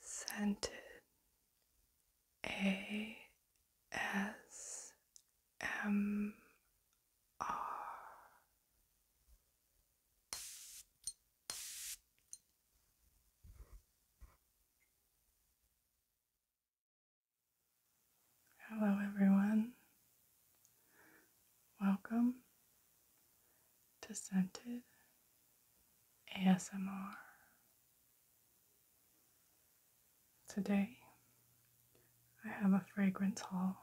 scented A S M R. Hello, everyone. Welcome to ASMR. Today, I have a fragrance haul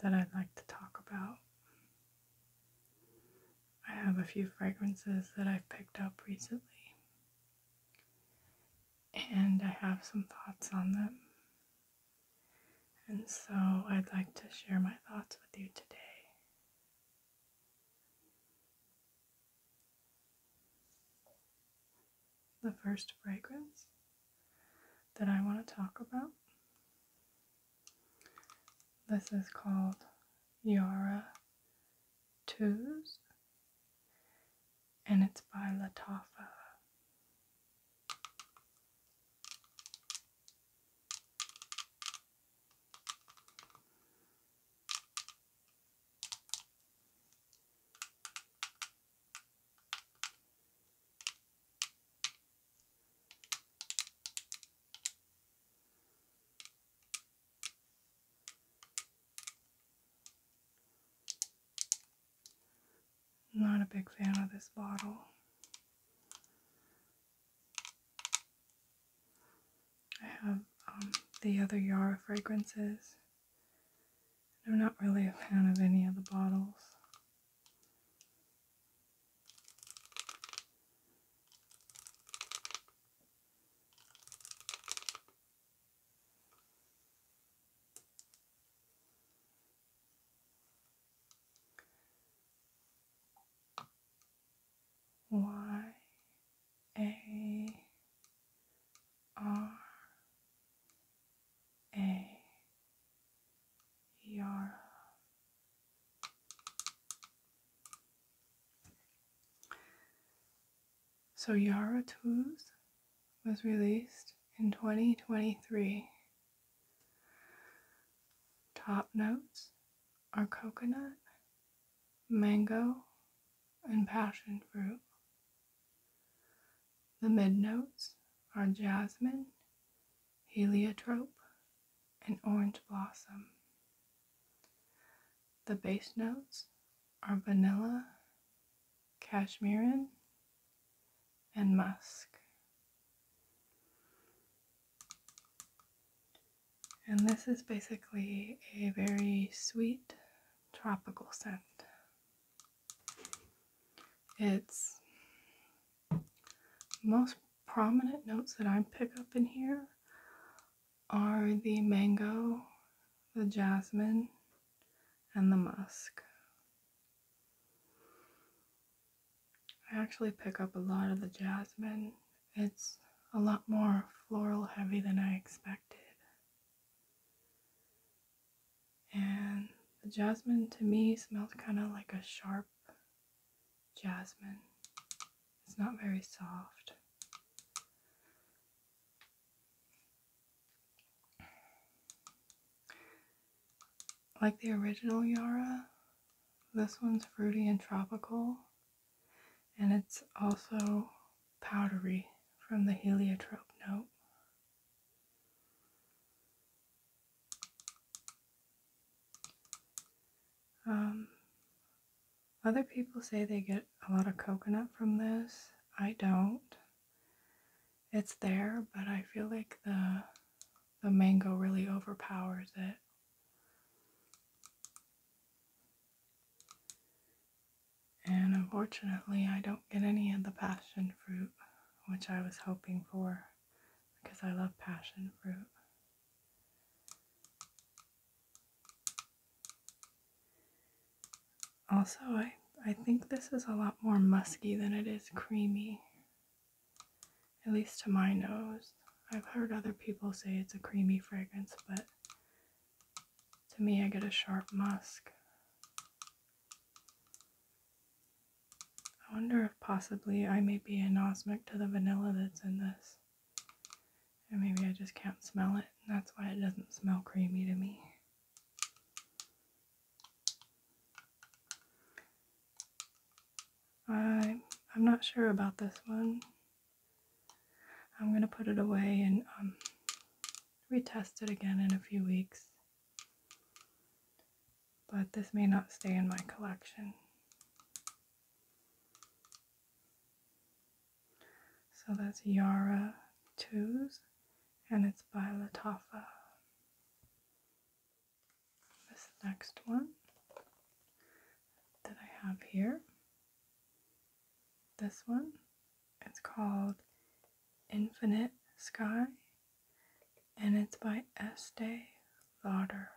that I'd like to talk about. I have a few fragrances that I've picked up recently, and I have some thoughts on them. And so I'd like to share my thoughts with you today. The first fragrance that I want to talk about. This is called Yara Twos and it's by Latafa. Not a big fan of this bottle. I have um, the other Yara fragrances. I'm not really a fan of any of the bottles. Y A R A Yara. So Yara Tooth was released in 2023. Top notes are coconut, mango, and passion fruit. The mid notes are jasmine, heliotrope, and orange blossom. The base notes are vanilla, cashmere, and musk. And this is basically a very sweet tropical scent. Its most prominent notes that I pick up in here are the mango, the jasmine, and the musk. I actually pick up a lot of the jasmine. It's a lot more floral heavy than I expected. And the jasmine to me smells kind of like a sharp jasmine. It's not very soft. Like the original Yara, this one's fruity and tropical, and it's also powdery from the heliotrope note. Um, other people say they get a lot of coconut from this. I don't. It's there, but I feel like the the mango really overpowers it. And unfortunately, I don't get any of the passion fruit, which I was hoping for because I love passion fruit. Also, I, I think this is a lot more musky than it is creamy at least to my nose. I've heard other people say it's a creamy fragrance, but to me, I get a sharp musk. I wonder if possibly I may be anosmic to the vanilla that's in this. And maybe I just can't smell it, and that's why it doesn't smell creamy to me. I, I'm not sure about this one. I'm going to put it away and um, retest it again in a few weeks. But this may not stay in my collection. So that's Yara 2s and it's by Latafa this next one that I have here. This one, it's called Infinite Sky and it's by Estee Lauder.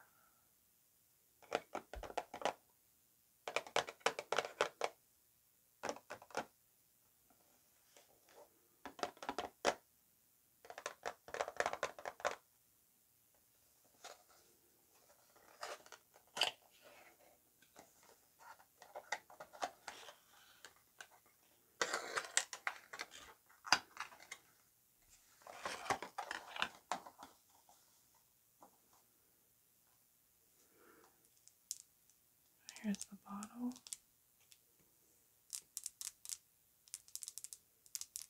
Here's the bottle.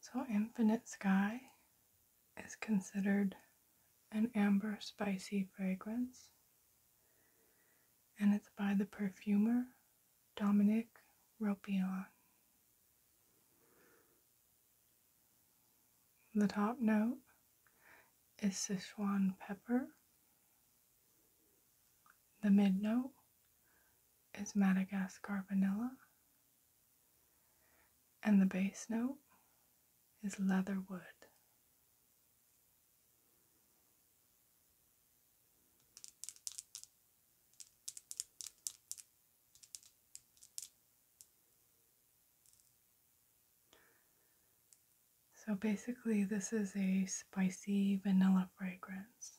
So, Infinite Sky is considered an amber spicy fragrance, and it's by the perfumer Dominic Ropion. The top note is Sichuan pepper. The mid note is Madagascar vanilla, and the bass note is leatherwood. So basically, this is a spicy vanilla fragrance.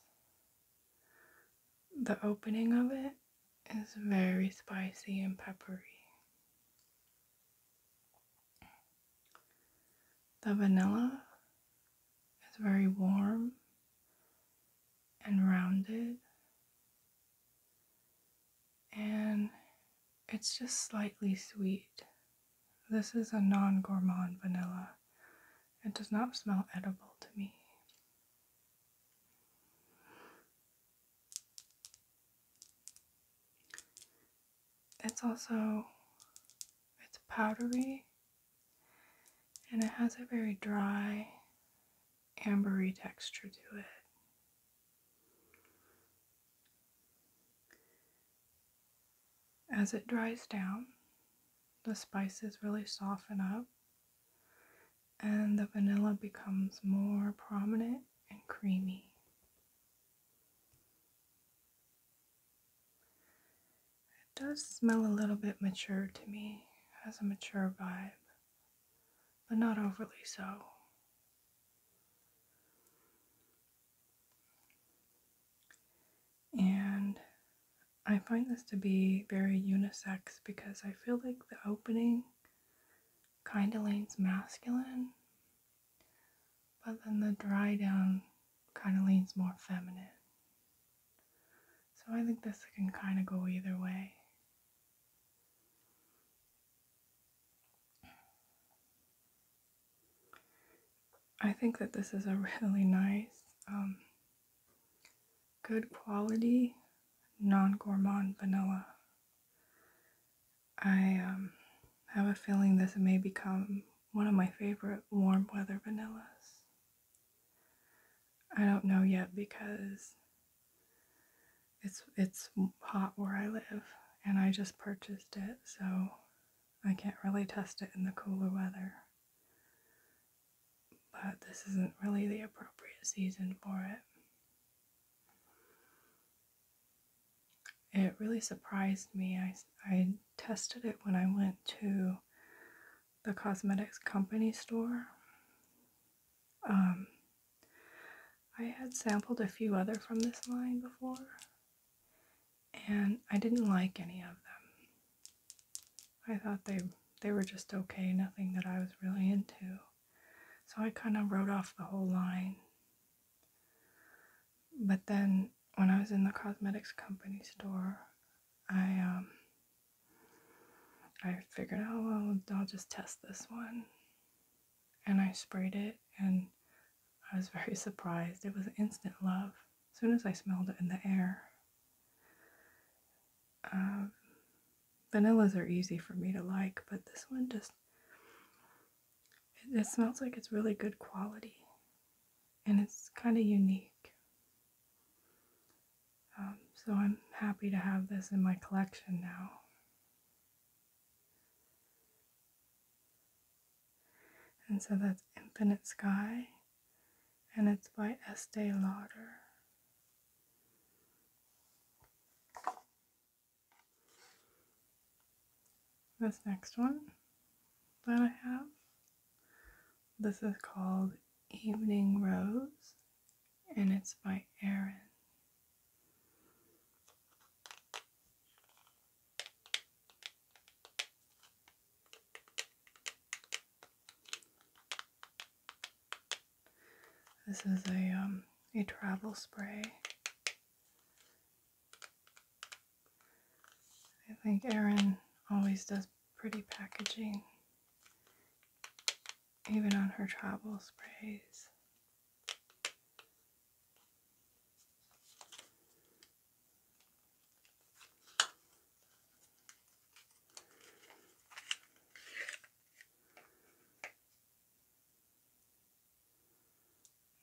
The opening of it is very spicy and peppery. The vanilla is very warm and rounded, and it's just slightly sweet. This is a non gourmand vanilla. It does not smell edible to me. It's also it's powdery and it has a very dry ambery texture to it. As it dries down, the spices really soften up and the vanilla becomes more prominent and creamy. It does smell a little bit mature to me, it has a mature vibe, but not overly so. And I find this to be very unisex because I feel like the opening kind of leans masculine, but then the dry down kind of leans more feminine. So I think this can kind of go either way. I think that this is a really nice, um, good quality, non gourmand vanilla. I um, have a feeling this may become one of my favorite warm weather vanillas. I don't know yet because it's it's hot where I live and I just purchased it, so I can't really test it in the cooler weather but this isn't really the appropriate season for it. It really surprised me. I, I tested it when I went to the cosmetics company store. Um, I had sampled a few other from this line before, and I didn't like any of them. I thought they they were just okay, nothing that I was really into. So I kind of wrote off the whole line. But then when I was in the cosmetics company store, I um I figured, oh well, I'll just test this one. And I sprayed it and I was very surprised. It was instant love as soon as I smelled it in the air. Um, vanillas are easy for me to like, but this one just, it, smells like it's really good quality and it's kind of unique. Um, so I'm happy to have this in my collection now. And so that's Infinite Sky, and it's by Estee Lauder. This next one that I have, this is called Evening Rose, and it's by Erin. This is a um, a travel spray. I think Erin always does pretty packaging, even on her travel sprays.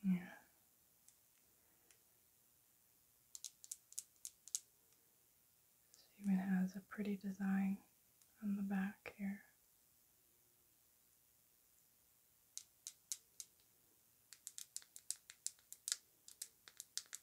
Yeah. even has a pretty design on the back here.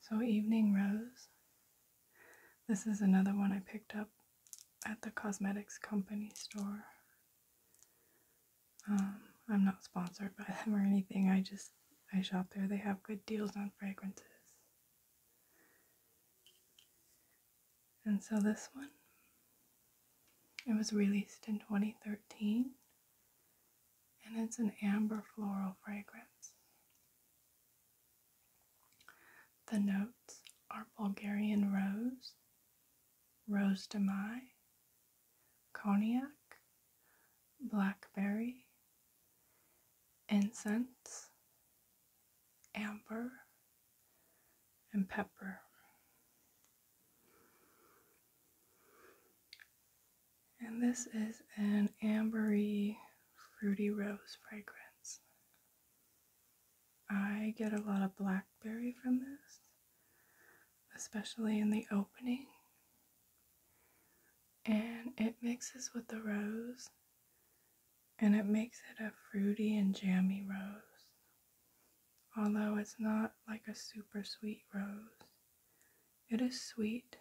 So, Evening Rose. This is another one I picked up at the cosmetics company store. Um, I'm not sponsored by them or anything. I just I shop there. They have good deals on fragrances. And so this one, it was released in 2013 and it's an amber floral fragrance. The notes are Bulgarian rose, rose de mai, cognac, blackberry, incense, amber, and pepper. And this is an ambery fruity rose fragrance. I get a lot of blackberry from this, especially in the opening. And it mixes with the rose and it makes it a fruity and jammy rose. Although it's not like a super sweet rose, it is sweet,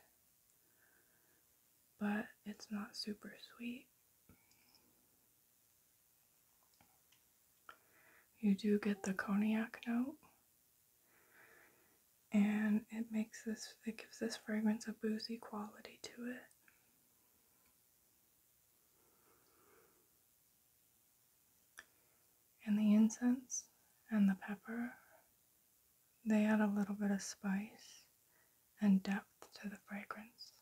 but it's not super sweet. You do get the cognac note, and it makes this, it gives this fragrance a boozy quality to it. And the incense and the pepper they add a little bit of spice and depth to the fragrance.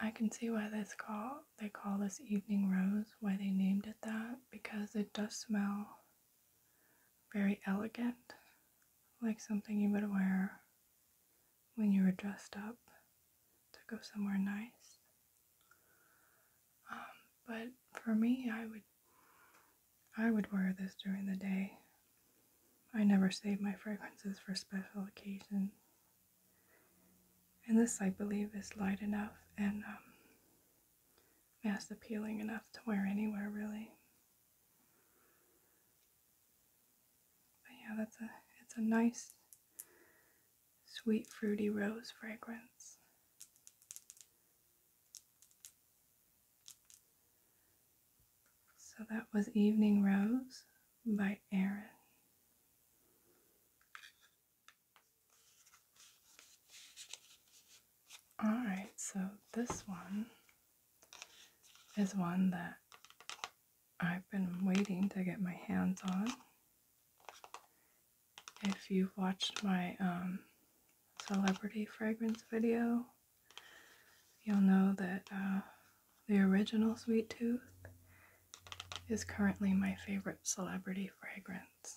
I can see why this call they call this evening rose, why they named it that, because it does smell very elegant, like something you would wear when you were dressed up to go somewhere nice. Um, but for me, I would I would wear this during the day. I never save my fragrances for special occasions. And this, I believe, is light enough and um, mass appealing enough to wear anywhere, really. But yeah, that's a it's a nice sweet fruity rose fragrance. So that was Evening Rose by Erin. Alright, so this one is one that I've been waiting to get my hands on if you've watched my um, celebrity fragrance video, you'll know that uh, the original Sweet Tooth is currently my favorite celebrity fragrance.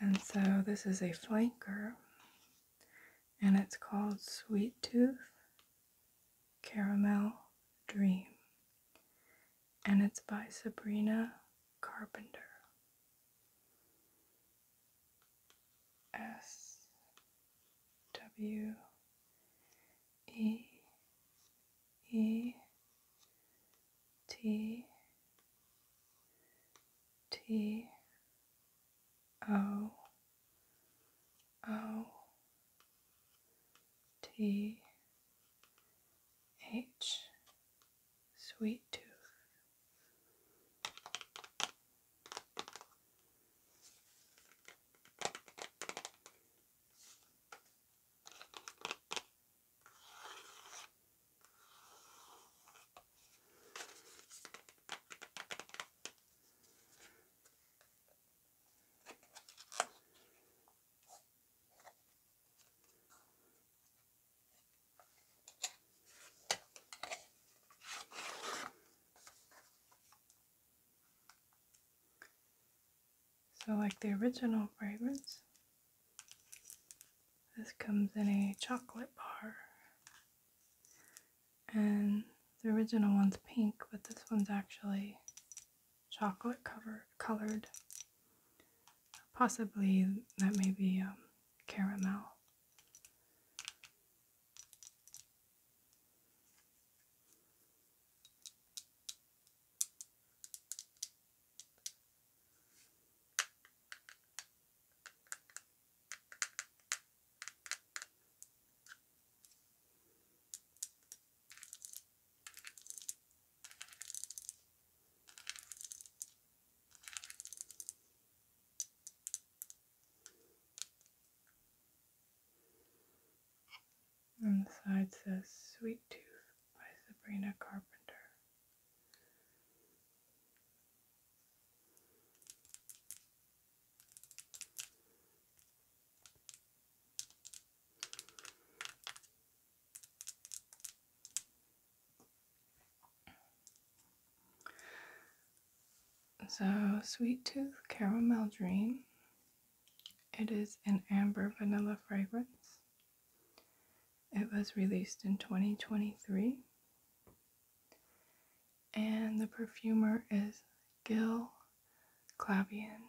And so this is a flanker and it's called Sweet Tooth Caramel Dream, and it's by Sabrina Carpenter. S W E E T T O O T H Sweet Tooth. So, like the original fragrance, this comes in a chocolate bar. And the original one's pink, but this one's actually chocolate covered colored. Possibly that may be um, caramel. And the side says Sweet Tooth by Sabrina Carpenter. So, Sweet Tooth Caramel Dream. It is an amber vanilla fragrance. It was released in 2023. And the perfumer is Gill, Clavian.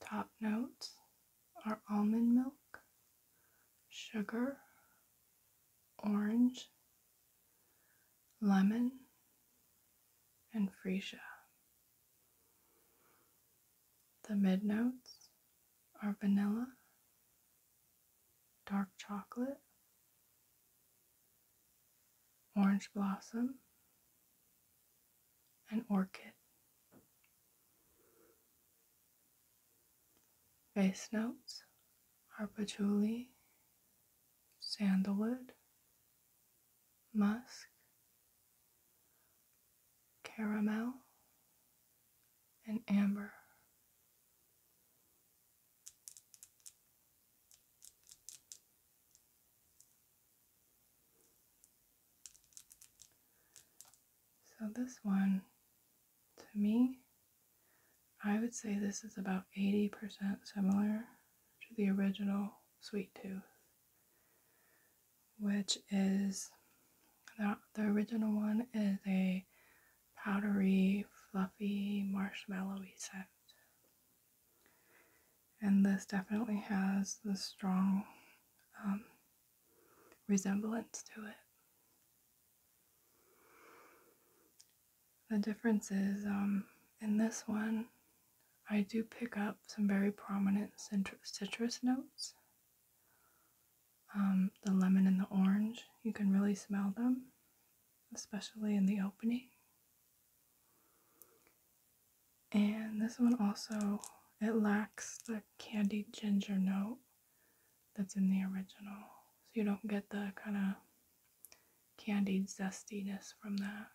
Top notes are almond milk, sugar, orange, lemon, and freesia. The mid notes are vanilla, dark chocolate, orange blossom, and orchid. Base notes are patchouli, sandalwood, musk, caramel, and amber. So, this one, to me, I would say this is about 80% similar to the original Sweet Tooth, which is the, the original one is a powdery, fluffy, marshmallowy scent. And this definitely has the strong um, resemblance to it. The difference is um, in this one, I do pick up some very prominent citrus notes. Um, the lemon and the orange, you can really smell them especially in the opening. And this one also, it lacks the candied ginger note that's in the original. So you don't get the kind of candied zestiness from that.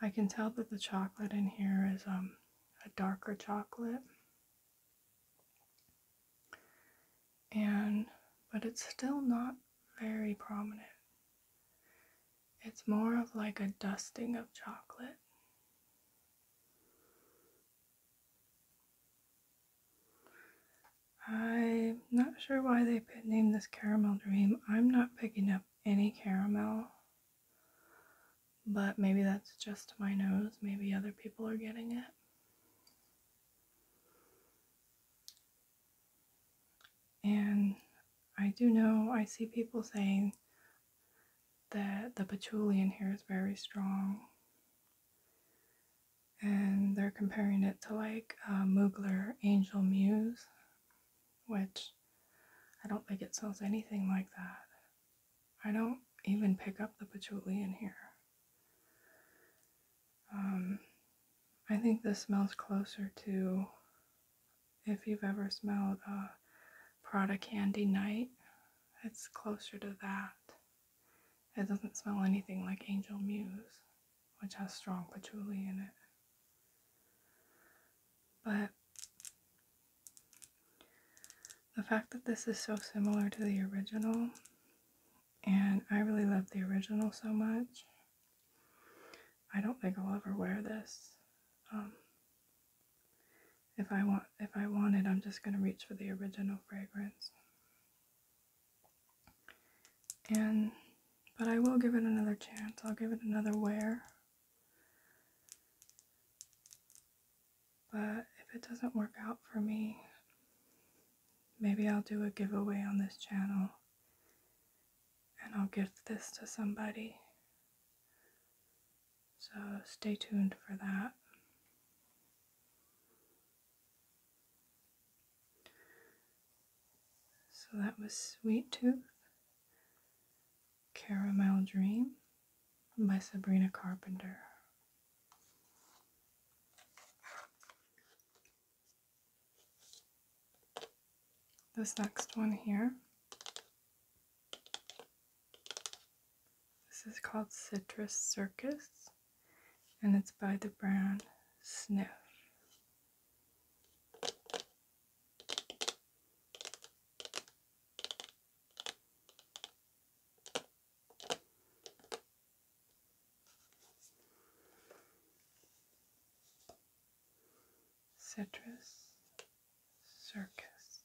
I can tell that the chocolate in here is um, a darker chocolate and but it's still not very prominent. It's more of like a dusting of chocolate. I'm not sure why they named this Caramel Dream. I'm not picking up any caramel, but maybe that's just my nose. Maybe other people are getting it. And I do know I see people saying that the patchouli in here is very strong. And they're comparing it to like uh, Mugler Angel Muse, which I don't think it sells anything like that. I don't even pick up the patchouli in here. Um, I think this smells closer to if you've ever smelled a Prada Candy Night, it's closer to that. It doesn't smell anything like Angel Muse, which has strong patchouli in it. But the fact that this is so similar to the original, and I really love the original so much, I don't think I'll ever wear this. Um, if I want, if I want it, I'm just gonna reach for the original fragrance. And, but I will give it another chance. I'll give it another wear. But if it doesn't work out for me, maybe I'll do a giveaway on this channel and I'll give this to somebody. So stay tuned for that. So that was Sweet Tooth, Caramel Dream by Sabrina Carpenter. This next one here, this is called Citrus Circus, and it's by the brand Sniff. Citrus Circus.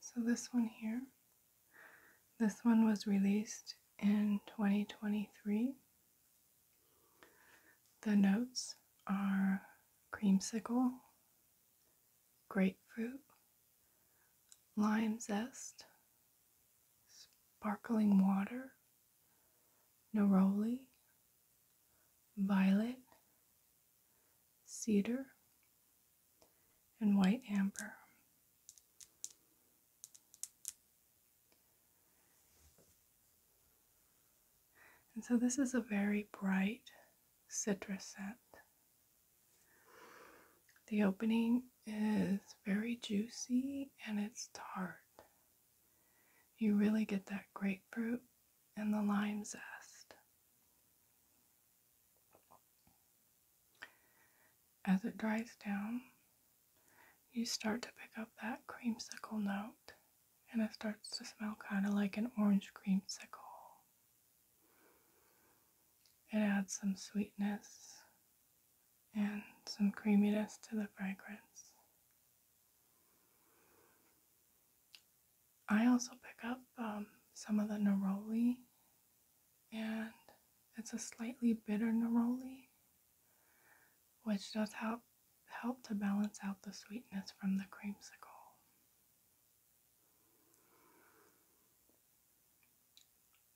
So, this one here, this one was released in 2023. The notes are creamsicle, grapefruit, lime zest, sparkling water, neroli, violet, cedar, and white amber. And so this is a very bright citrus scent. The opening is very juicy and it's tart. You really get that grapefruit and the lime zest. As it dries down, you start to pick up that creamsicle note and it starts to smell kind of like an orange creamsicle. It adds some sweetness and some creaminess to the fragrance. I also pick up um, some of the neroli, and it's a slightly bitter neroli, which does help help to balance out the sweetness from the creamsicle.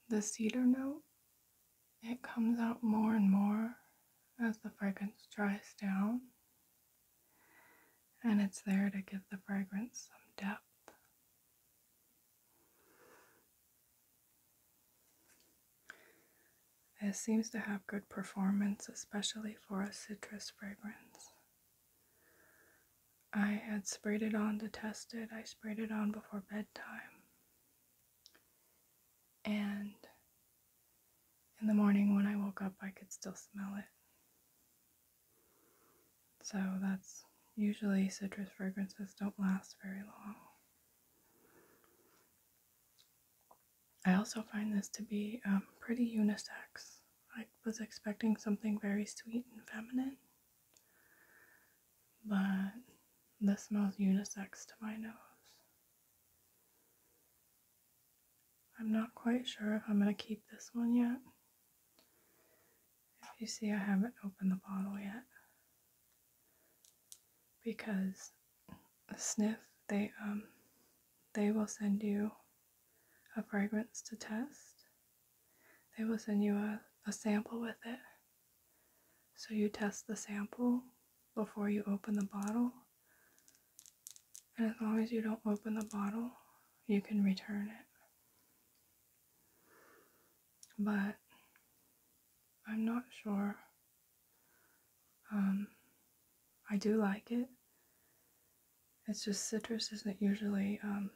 The cedar note, it comes out more and more as the fragrance dries down, and it's there to give the fragrance some depth. It seems to have good performance, especially for a citrus fragrance. I had sprayed it on to test it. I sprayed it on before bedtime. And in the morning when I woke up, I could still smell it. So that's usually citrus fragrances don't last very long. I also find this to be um, pretty unisex. I was expecting something very sweet and feminine, but this smells unisex to my nose. I'm not quite sure if I'm going to keep this one yet. If you see, I haven't opened the bottle yet. Because sniff, they um they will send you a fragrance to test. They will send you a, a sample with it. So you test the sample before you open the bottle. And as long as you don't open the bottle, you can return it. But I'm not sure. Um, I do like it. It's just citrus isn't usually um,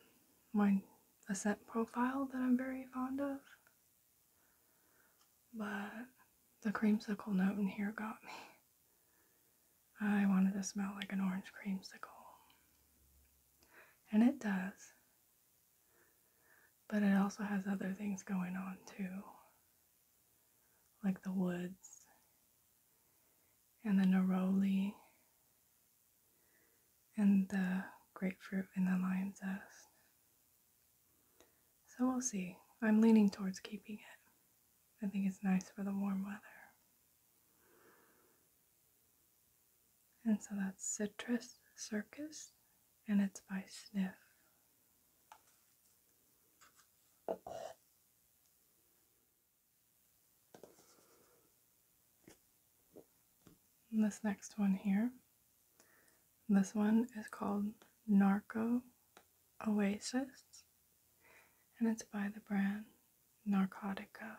my scent profile that I'm very fond of. But the creamsicle note in here got me. I wanted to smell like an orange creamsicle. And it does. But it also has other things going on too, like the woods and the neroli and the grapefruit and the lime zest. So we'll see. I'm leaning towards keeping it. I think it's nice for the warm weather. And so that's Citrus Circus, and it's by Sniff this next one here. This one is called Narco Oasis and it's by the brand Narcotica.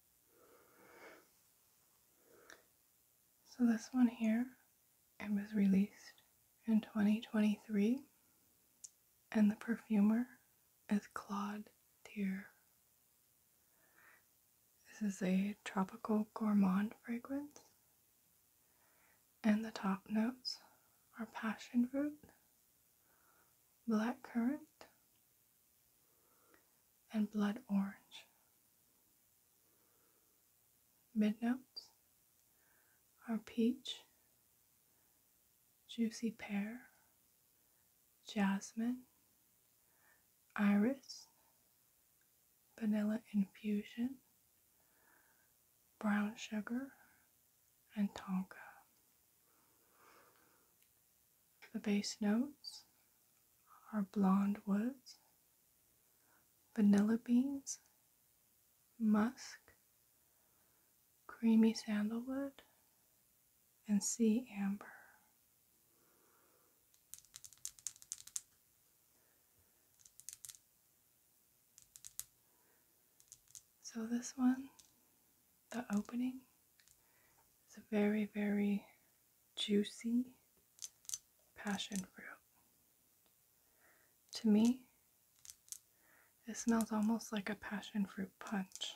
So this one here, it was released in 2023, and the perfumer is Claude Deer. This is a tropical gourmand fragrance, and the top notes are passion fruit, black currant, and blood orange. Mid notes are peach, juicy pear, jasmine, iris, vanilla infusion, brown sugar, and tonka. The base notes are blonde woods, vanilla beans, musk, creamy sandalwood, and sea amber. So, this one the opening. is a very, very juicy passion fruit. To me, it smells almost like a passion fruit punch.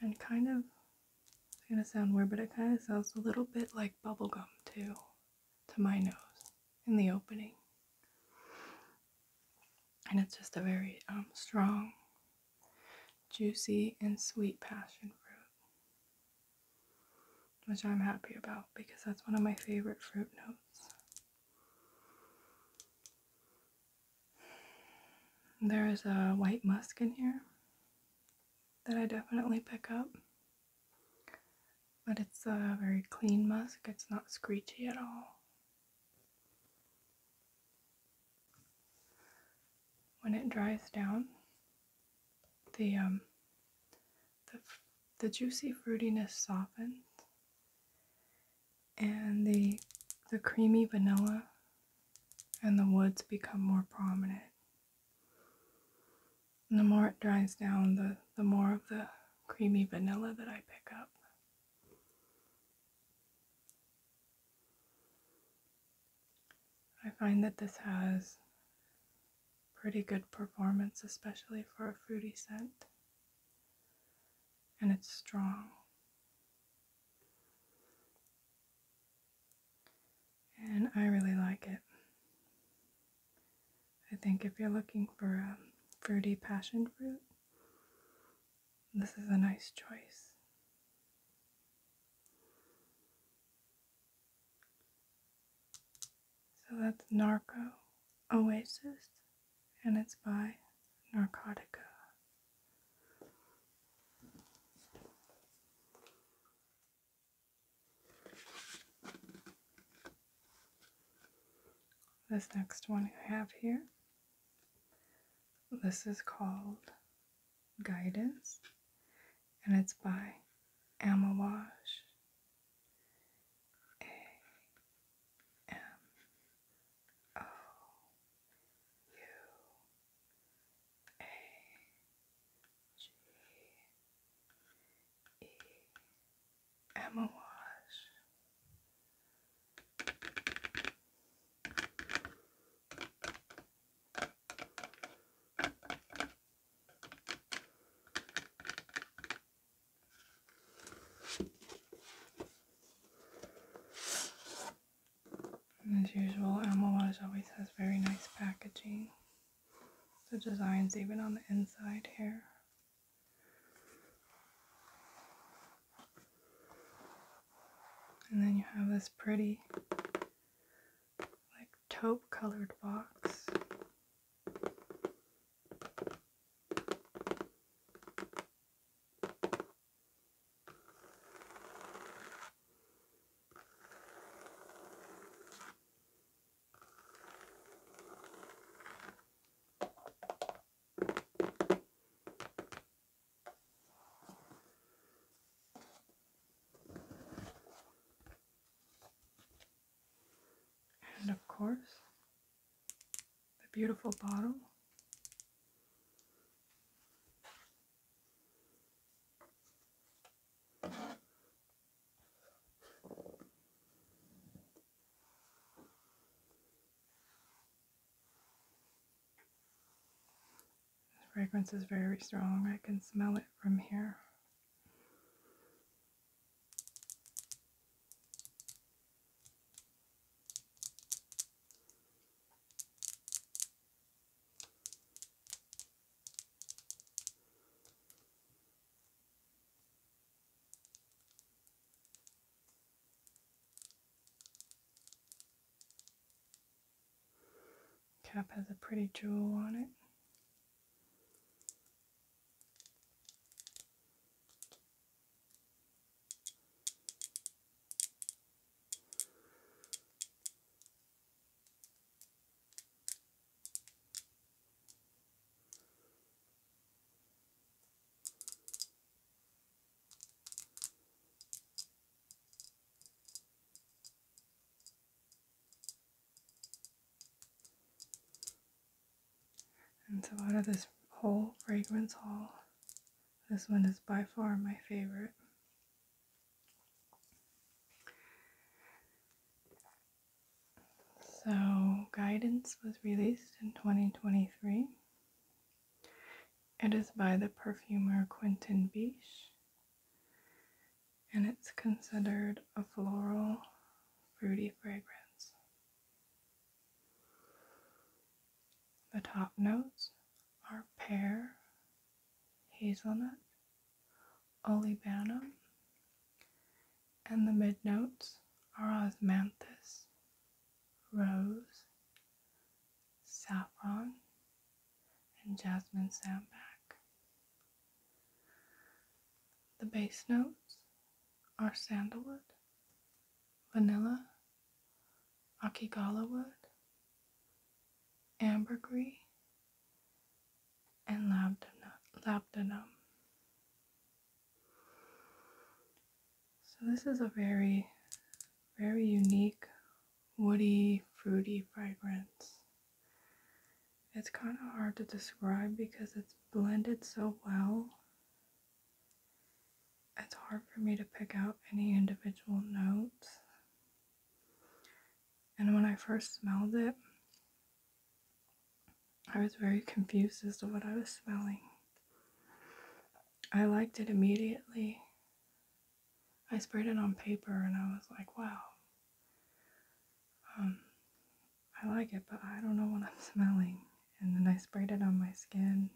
And kind of, it's gonna sound weird, but it kind of smells a little bit like bubblegum too, to my nose, in the opening and it's just a very um, strong, juicy, and sweet passion fruit, which I'm happy about because that's one of my favorite fruit notes. There is a white musk in here that I definitely pick up. But it's a very clean musk. It's not screechy at all. When it dries down, the um, the, the juicy fruitiness softens, and the the creamy vanilla and the woods become more prominent. And the more it dries down, the, the more of the creamy vanilla that I pick up. I find that this has pretty good performance, especially for a fruity scent, and it's strong. And I really like it. I think if you're looking for a fruity passion fruit, this is a nice choice. So that's Narco Oasis, and it's by Narcotica. This next one I have here this is called Guidance and it's by Amawash. A M O U A G E Amawash as usual, Almoage always has very nice packaging. The designs even on the inside here and then you have this pretty like taupe colored box. And of course, the beautiful bottle. This fragrance is very strong. I can smell it from here. Cap has a pretty jewel on it. And so out of this whole fragrance haul, this one is by far my favorite. So, Guidance was released in 2023. It is by the perfumer Quentin Biche and it's considered a floral fruity fragrance. The top notes are pear, hazelnut, olibanum, and the mid notes are osmanthus, rose, saffron, and jasmine sandback. The base notes are sandalwood, vanilla, akigala wood, ambergris, and labdanum. So this is a very, very unique woody, fruity fragrance. It's kind of hard to describe because it's blended so well. It's hard for me to pick out any individual notes. And when I first smelled it, I was very confused as to what I was smelling. I liked it immediately. I sprayed it on paper and I was like, wow. Um, I like it, but I don't know what I'm smelling. And then I sprayed it on my skin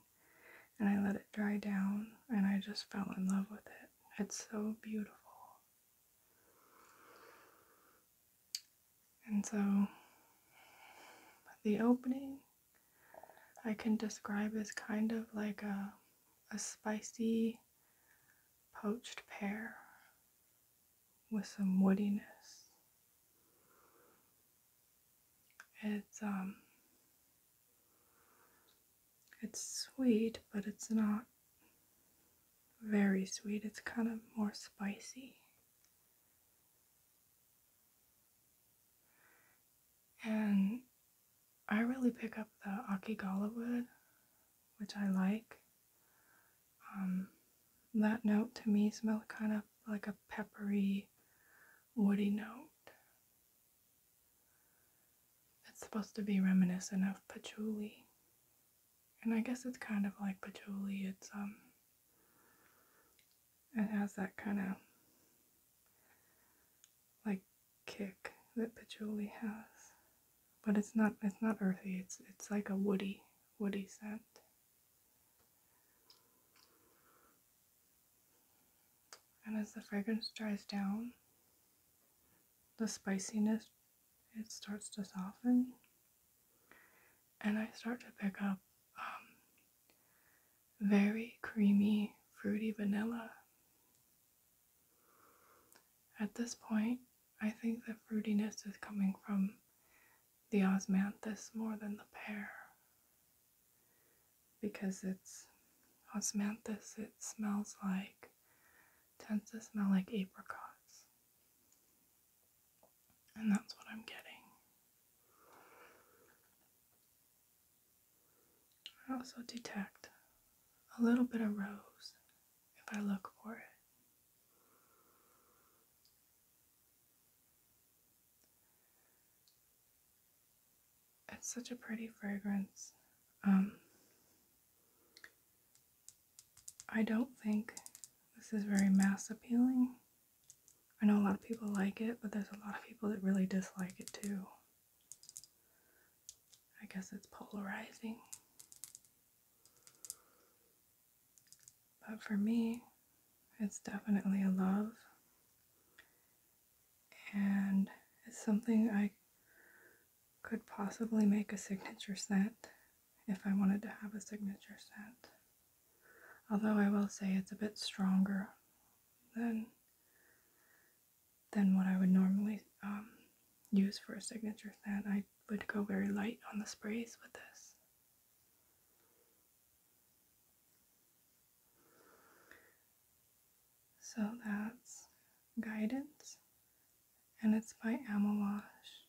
and I let it dry down and I just fell in love with it. It's so beautiful. And so the opening I can describe as kind of like a, a spicy poached pear with some woodiness. It's um it's sweet, but it's not very sweet. It's kind of more spicy. And I really pick up the Akigala wood, which I like. Um, that note to me smells kind of like a peppery, woody note. It's supposed to be reminiscent of patchouli. And I guess it's kind of like patchouli. It's um it has that kind of like kick that patchouli has. But it's not it's not earthy, it's it's like a woody, woody scent. And as the fragrance dries down, the spiciness it starts to soften and I start to pick up um, very creamy, fruity vanilla. At this point, I think the fruitiness is coming from the osmanthus more than the pear because it's osmanthus, it smells like, tends to smell like apricots. And that's what I'm getting. I also detect a little bit of rose if I look for it. It's such a pretty fragrance. Um, I don't think this is very mass appealing. I know a lot of people like it, but there's a lot of people that really dislike it too. I guess it's polarizing. But for me, it's definitely a love. And it's something I could possibly make a signature scent if I wanted to have a signature scent. Although I will say it's a bit stronger than than what I would normally um, use for a signature scent. I would go very light on the sprays with this. So that's Guidance, and it's by Amelage.